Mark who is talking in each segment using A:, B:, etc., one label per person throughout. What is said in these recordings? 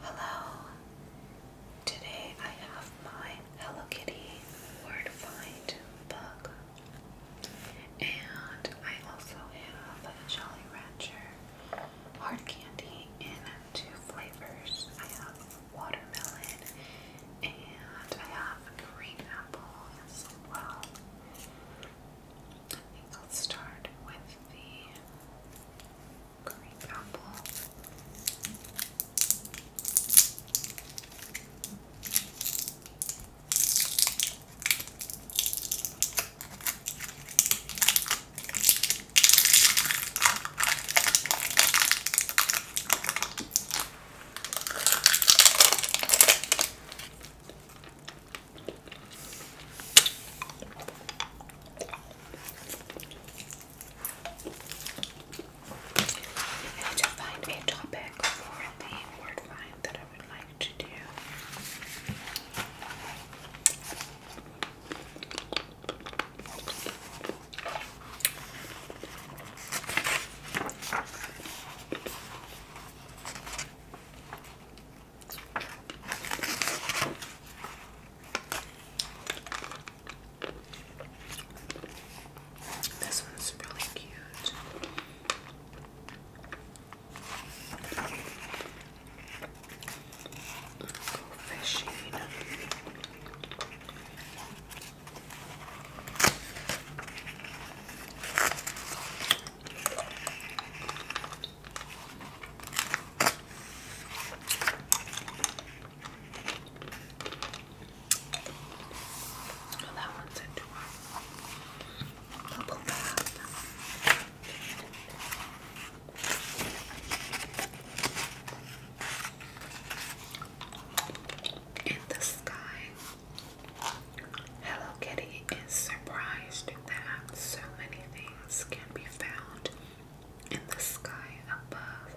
A: Hello! Today I have my Hello Kitty Word Find book. And I also have a Jolly Rancher hard candy in two flavors. I have watermelon and I have green apple as well. I think start with the Green apple. I need to find a topic for the word find that I would like to do. This one's really cute. Go fishing that one's a dwarf. bath. In the sky, Hello Kitty is surprised that so many things can be found in the sky above.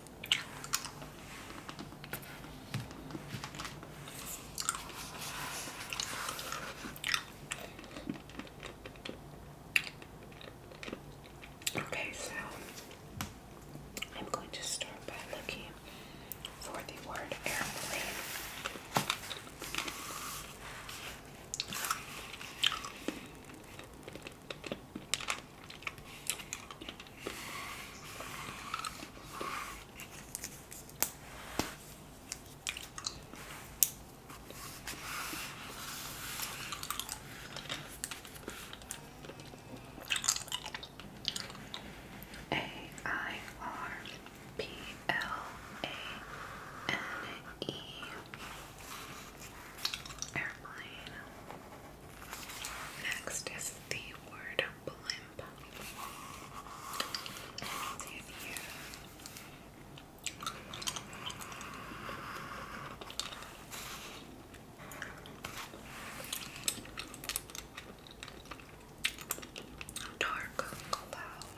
A: Okay, so I'm going to start by looking for the word airplane. A I R P L A N E airplane. Next is the word blimp. Dark cloud.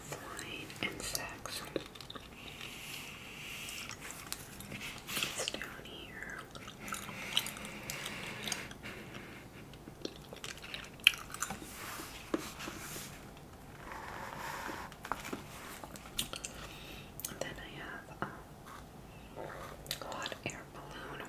A: Flying insects. It's down here. And then I have um, a hot air balloon.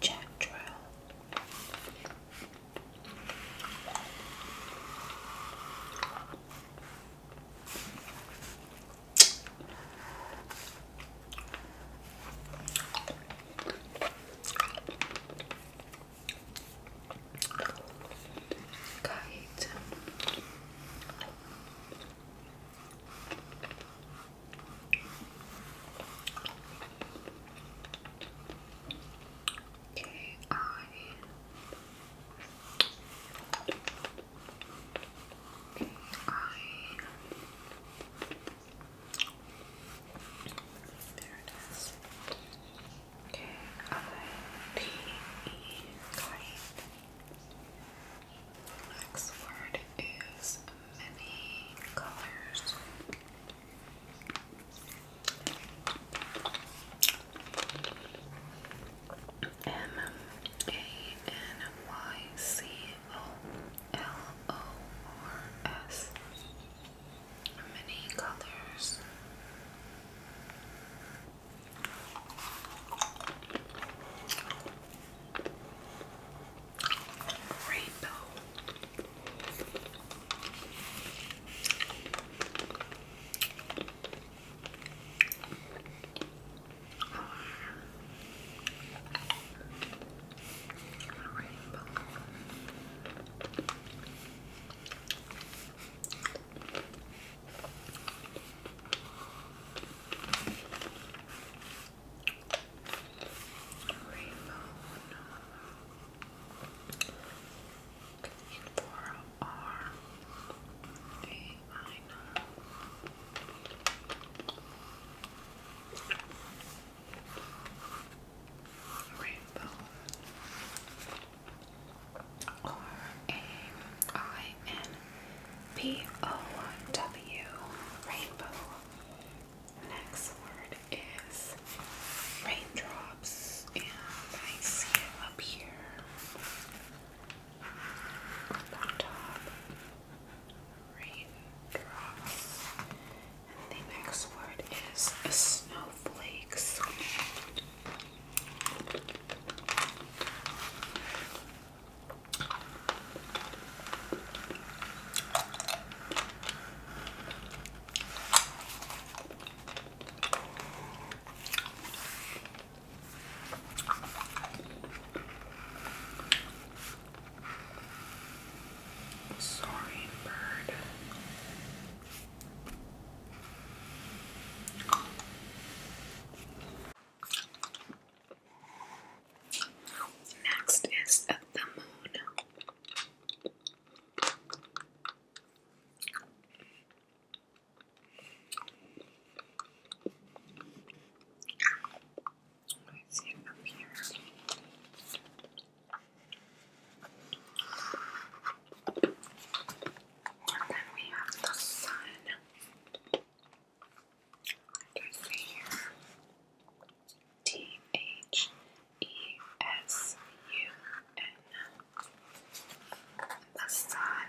A: Jack Drill kahit Okay, there it is. K I P E kite. Next word is many colors. M A N Y C O L O R S many colors. Rainbow rainbow. Rainbow, no. For R, A, I know rainbow R A I N B O W Next word is raindrops, and I see it up here on top. Raindrops. And the next word is snowflakes. Sorry, bird. Next is the moon. Let's see up here. then we have the sun. Like I see here. T H E S U N. The sun.